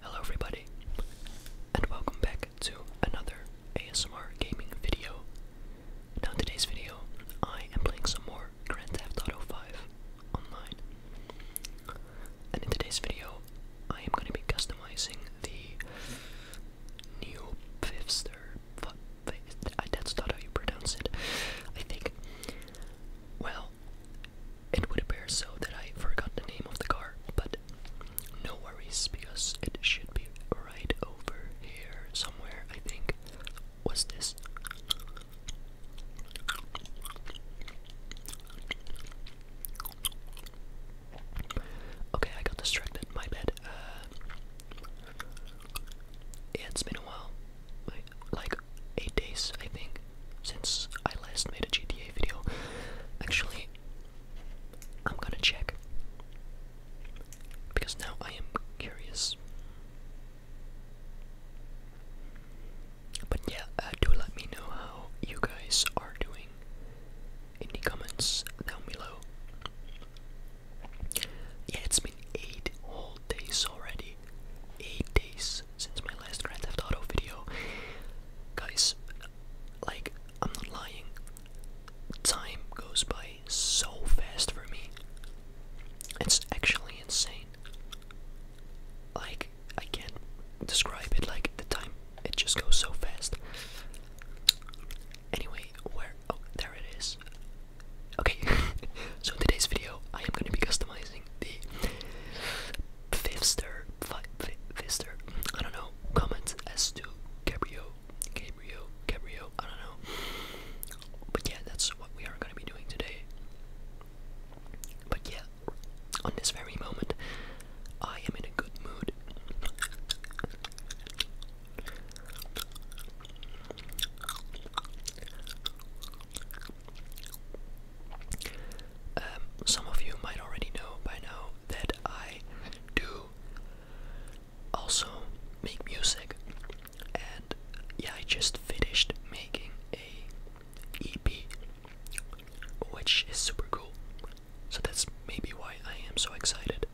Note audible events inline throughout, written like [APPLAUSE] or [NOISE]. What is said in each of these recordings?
Hello everybody, and welcome back to another ASMR gaming video. Now in today's video, I am playing some more Grand Theft Auto 5 online. And in today's video, I am going to be customizing the Neo fifthster, that's not how you pronounce it, I think. Well, it would appear so that I forgot the name of the car, but no worries because it should be right over here somewhere, I think. What's this? Okay, I got distracted. My bad. Uh, yeah, it's been a while. Like eight days, I think since I last made a GTA video. Actually, I'm gonna check. Because now I am curious. But yeah, uh, do let me know how you guys are doing in the comments down below. Yeah, it's been 8 whole days already. 8 days since my last Grand Theft Auto video. Guys, like, I'm not lying. Time goes by so fast for me. It's actually insane. Like, I can't describe it, like, the time, it just goes so fast. Anyway, where, oh, there it is. Okay, [LAUGHS] so today's video, I am going to be customizing the fifth, Fister, I don't know, comments as to Gabriel, Gabriel, Gabriel, I don't know. But yeah, that's what we are going to be doing today. But yeah, on this very moment, I am in a good mood. Um, some of you might already know by now that I do also make music, and yeah, I just finished making a EP, which is super cool. So that's maybe why I am so excited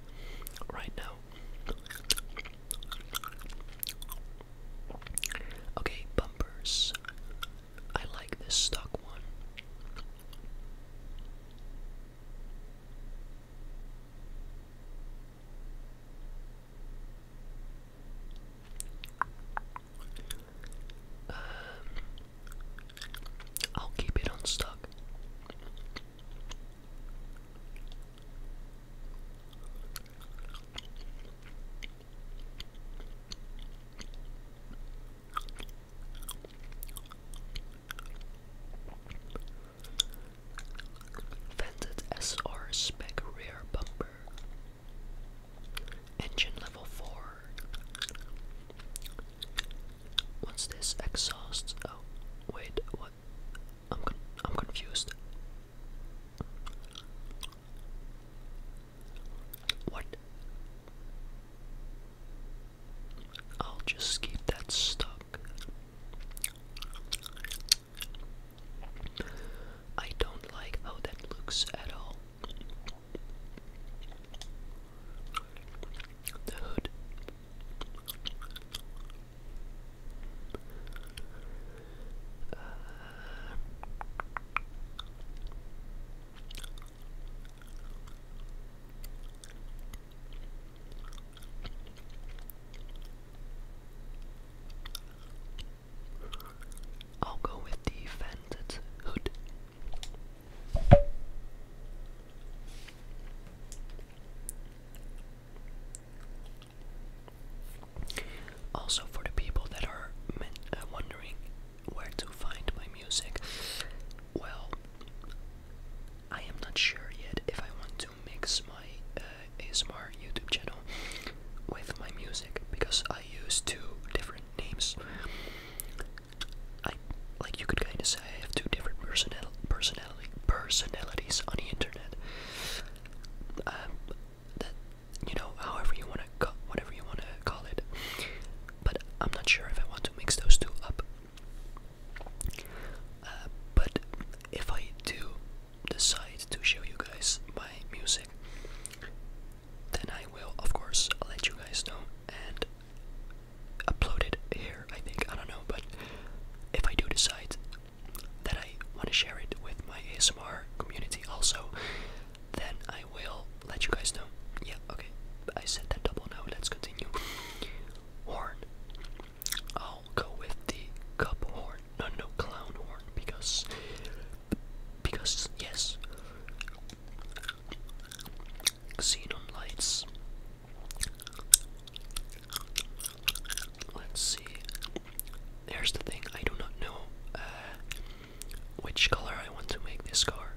right now. Okay, bumpers. I like this stuck one. Um, I'll keep it unstuck. Vented SR spec rear bumper. Engine level 4. What's this exhaust? Oh, wait, what? I'm I'm confused. What? I'll just keep that stuck. I don't like how that looks at all. The I'll go with the fended hood. Also, for the people that are uh, wondering where to find my music? Well, I am not sure yet if I want to mix my uh, ASMR YouTube channel with my music because I use two different names. I like you could kind of say I have two different personal personalities on the internet. Um, that you know, however you want to, whatever you want to call it. But I'm not sure if I want to mix those two up. Uh, but if I do decide to show you guys my music, then I will, of course, let you guys know and upload it here. I think I don't know, but if I do decide that I want to share it with my ASMR community, also, then I. I will let you guys know. Yeah, okay. I said that double no. Let's continue. Horn. I'll go with the cup horn. No, no, clown horn. Because. Because, yes. Xenon lights. Let's see. Here's the thing I do not know. Uh, which color I want to make this car,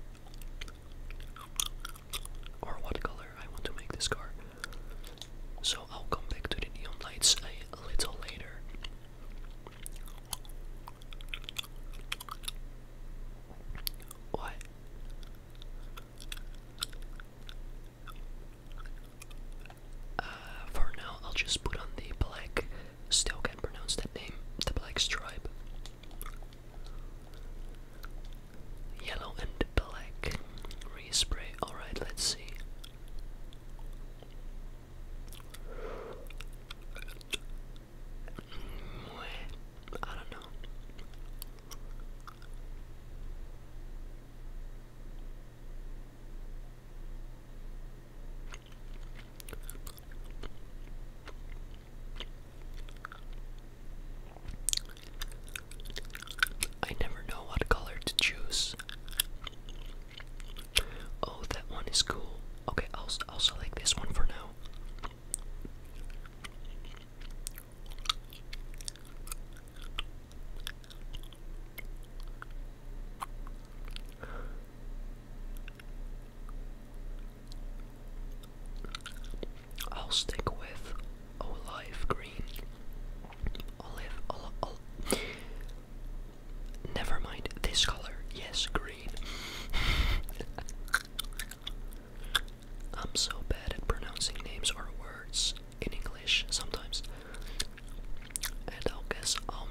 or what color I want to make this car. So I'll come back to the neon lights a little later. What? Uh, for now, I'll just put on the black Still can't pronounce that name. The Black Stripe. Yellow and black. Respray. Alright, let's see. I don't know. I never know what color to choose. Oh, that one is cool. Okay, I'll, also like this one for now. I'll stick with olive green. Olive, Never mind this color. Yes, green. [LAUGHS] I'm so bad at pronouncing names or words in English sometimes. And I'll guess I'll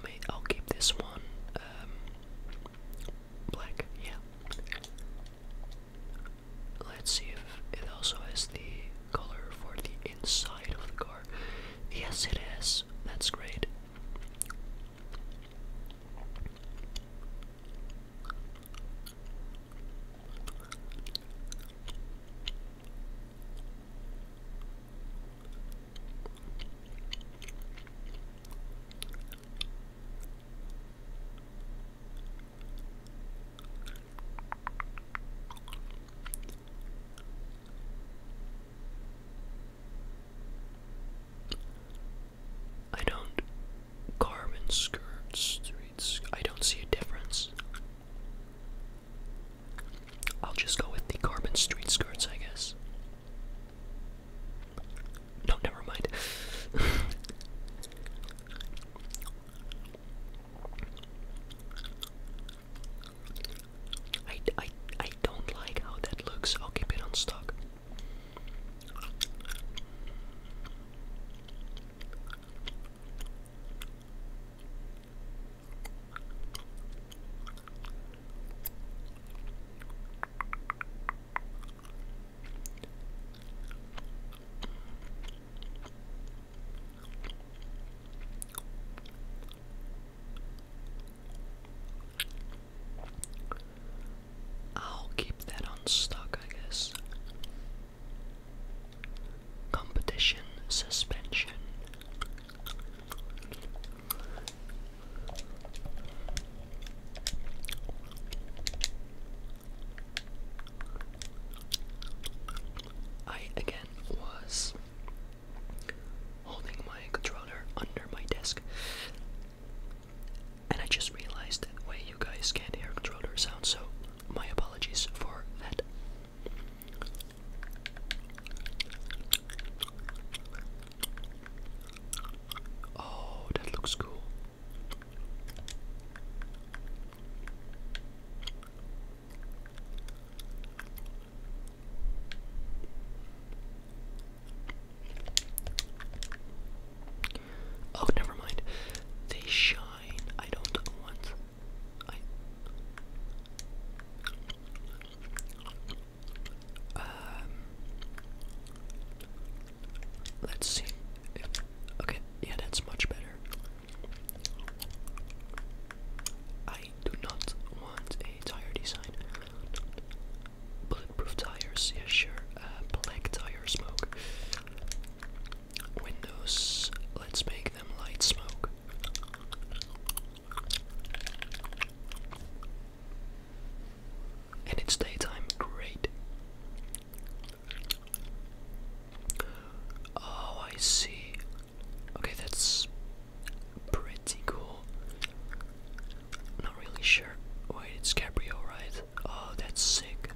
keep this one um, Black, yeah. Let's see if it also has the color for the inside of the car. Yes, it is. That's great. I don't carve and I don't see a difference. I'll just go with the carbon street skirts, I guess. No, never mind. I, I, I don't like how that looks. I'll keep it unstuck. I'll keep that unstuck, I guess. Competition suspension. I again was holding my controller under my desk, and I just realized that way you guys can't hear controller sound, so my apologies for that. Oh, that looks cool. Oh, never mind. They shine. I don't want. Um, let's see. If, okay, yeah, that's much better. I do not want a tire design. Bulletproof tires, yeah, sure. Uh, black tire smoke. Windows, let's make them light smoke. And it's daytime, great. Oh, I see. Okay, that's pretty cool. Not really sure. Wait, it's Cabrio, right? Oh, that's sick.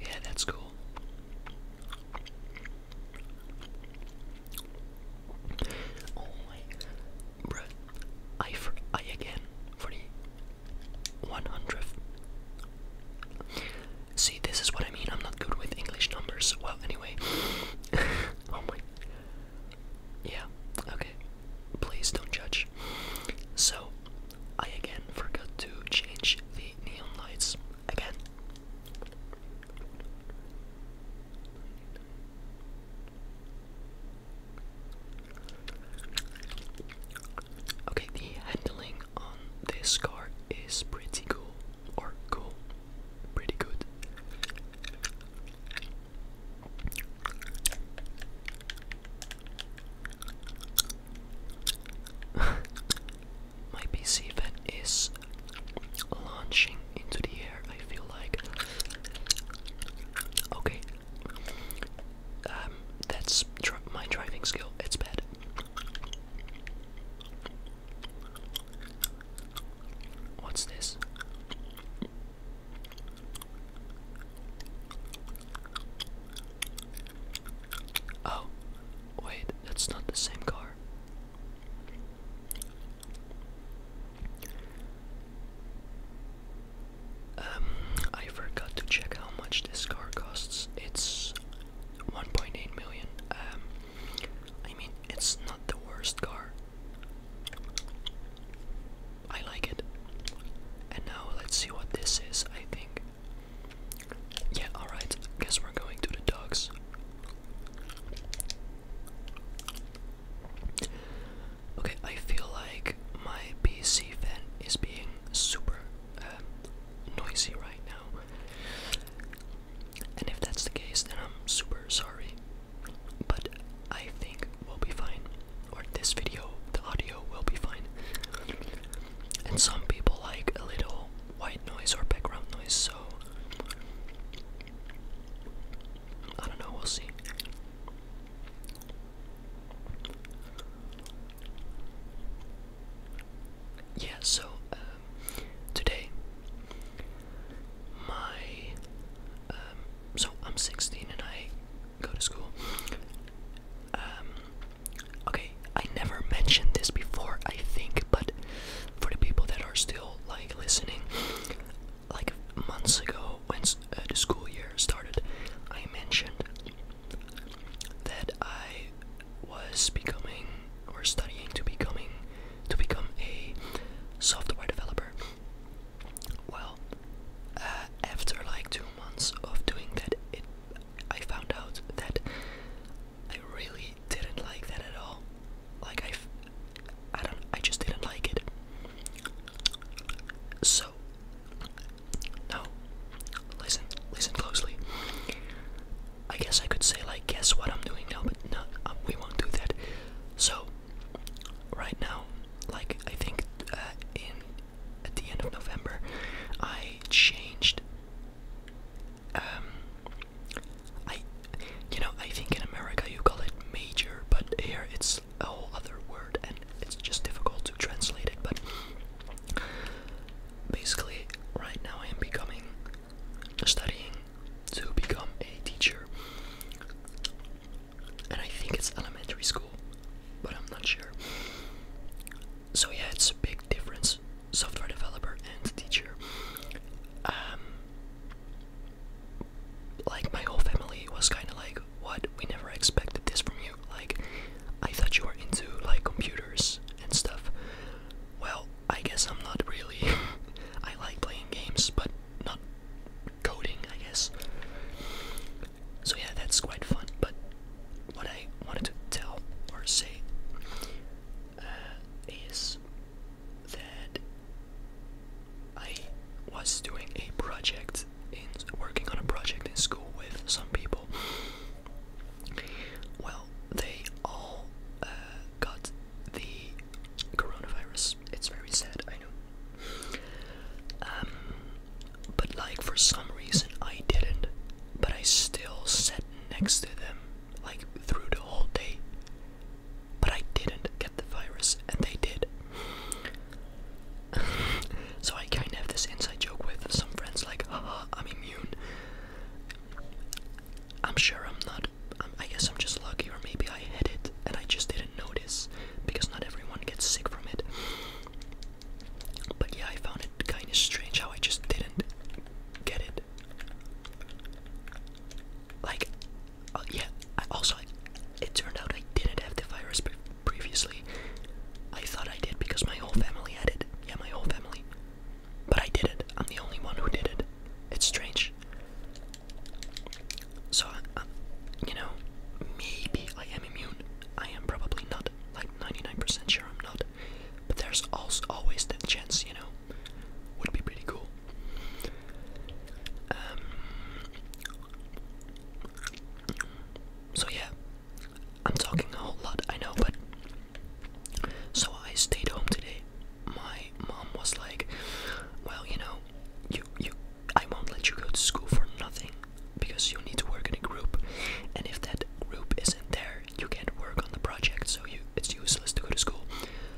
Yeah, that's cool. Oh my, bruh, I, for, I again, for the 100th. See, this is what I mean, I'm not good with English numbers. Well, anyway, [LAUGHS] oh my, yeah, okay, please don't judge. So, I again forgot to change the neon lights. Again, Okay, the handling on this car is pretty cool, or cool, pretty good. [LAUGHS] my PC is launching into the air, I feel like. Okay. Um, that's my driving skill. It's bad. What's this? Oh, Wait, that's not the same car. Um, I forgot to check how much this car costs. It's 1.8 million. Um, I mean, it's not the worst car. I like it. And now let's see what this is, I think. Yeah, alright, guess we're going to the dogs. Okay, I feel like my PC fan is being super um, noisy right now. And if that's the case, then I'm super sorry. But I think we'll be fine. Or this video, the audio will be fine and some people like a little white noise or background noise, so I don't know, we'll see. Yeah, so um, today my um, so I'm 16 and I go to school. Um, Okay, I never mentioned this before, I think, but for the people that are still like listening, like months ago when uh, the school year started, I mentioned that I was becoming or studying to becoming to become a software developer. Well, uh, after like two months of doing that, it I found out that I really didn't like that at all. Like I, I don't, I just didn't like it. So, no, listen, listen closely. I guess I could say like, guess what I'm doing now, but no, um, we won't do that. So, right now, like I think uh, in at the end of November, I changed um, I, you know, I think in America you call it major, but here it's a whole other word, and it's just difficult to translate it. But basically, right now I am becoming, studying to become a teacher, and I think it's elementary school, but I'm not sure. So yeah, it's big difference software developer and teacher um, like my whole family was kind of like what we never expected this from you like i thought you were into like computers and stuff well i guess i'm not really [LAUGHS] i like playing games but not coding i guess so yeah that's quite fun but what I wanted to tell or say uh, is that I was doing a project in working on a project in school with some people. Well, they all uh, got the coronavirus. It's very sad, I know. Um, but like for some reason I didn't but I still sat next to them like through the whole day. But I didn't get the virus, and they did. [LAUGHS] so I kind of have this inside joke with some friends, like, haha, I'm immune. I'm sure I'm not. i um, I guess I'm just lucky, or maybe I had it and I just didn't notice because not everyone gets sick from it. But yeah, I found it kind of strange how I just didn't get it. Like, uh, yeah, also, it turned out I didn't have the virus previously. I thought I did because my whole family had it. Yeah, my whole family. But I did it. I'm the only one who did it. It's strange. So, uh, um, you know, maybe I am immune. I am probably not. Like 99% sure I'm not. But there's also always the chance, you know. Would be pretty cool. Um, so yeah, I'm talking a whole lot, I know, but so I stayed home today. My mom was like, "Well, you know, you you, I won't let you go to school for nothing because you need to work in a group, and if that group isn't there, you can't work on the project, so it's useless to go to school.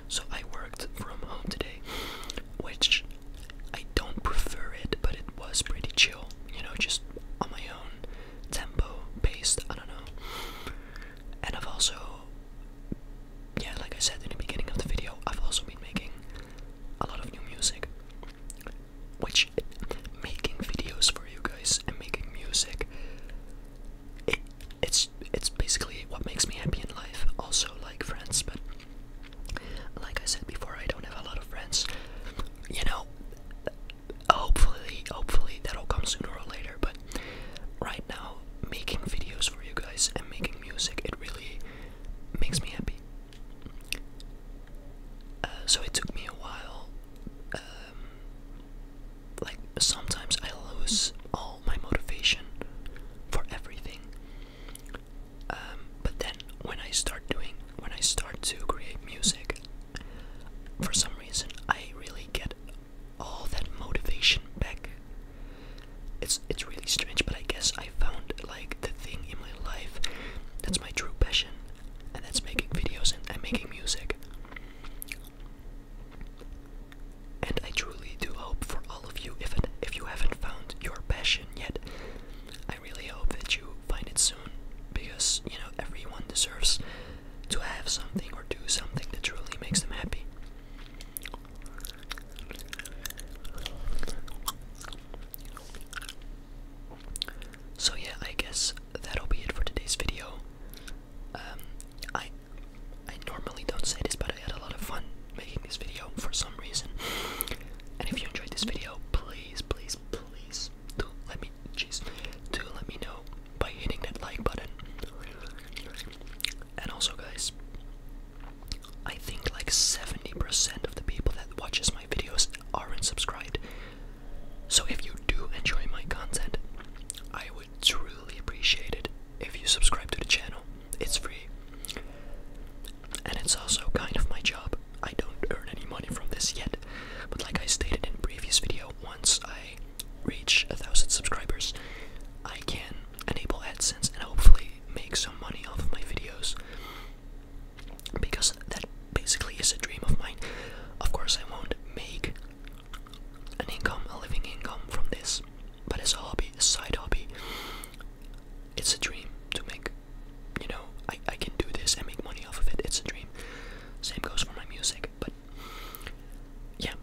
So I worked from home today, which I don't prefer it, but it was pretty chill, you know, just on my own tempo, based, I don't know. And I've also, yeah, like I said in the beginning of the video, I've also been making a lot of new music which making videos for you guys and making music it, it's it's basically what makes me happy in life also like friends but like I said before I don't have a lot of friends you know hopefully hopefully that'll come sooner or later but right now making videos for you guys and making music it really makes me happy uh, so it took me a while uh, um, like sometimes I lose all my motivation for everything. Um, but then when I start doing, when I start to create music, for some reason I really get all that motivation back. It's it's really strange, but I guess I found like the thing in my life that's my true passion and that's making videos and, I'm making music. And I truly do hope for all of you, if if you haven't found your passion yet, I really hope that you find it soon, because you know everyone deserves to have something or do something that truly makes them happy. So yeah, I guess that'll be it for today's video. Um, I I normally don't say this, but I had a lot of fun making this video for some reason. And if you enjoyed this video, please, please, please do let me, jeez, do let me know by hitting that like button. And also, guys, I think like 70% of the people that watches my videos aren't subscribed. So if you do enjoy my content, I would truly appreciate it if you subscribe to the channel. It's free. And it's also kind of my job. I don't earn any money from this yet, but like I stated in a previous video, once I reach a thousand subscribers, I can enable AdSense and hopefully make some money off of my videos because that basically is a dream of mine. Of course, I won't make an income, a living income from this, but as a hobby, a side hobby, it's a dream to make. You know, I, I can do this and make money off of it. It's a dream. Same goes for my music, but yeah.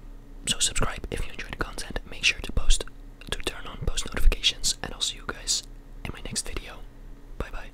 So subscribe if you enjoy the content. Make sure to post to turn on post notifications, and I'll see you guys in my next video. Bye bye.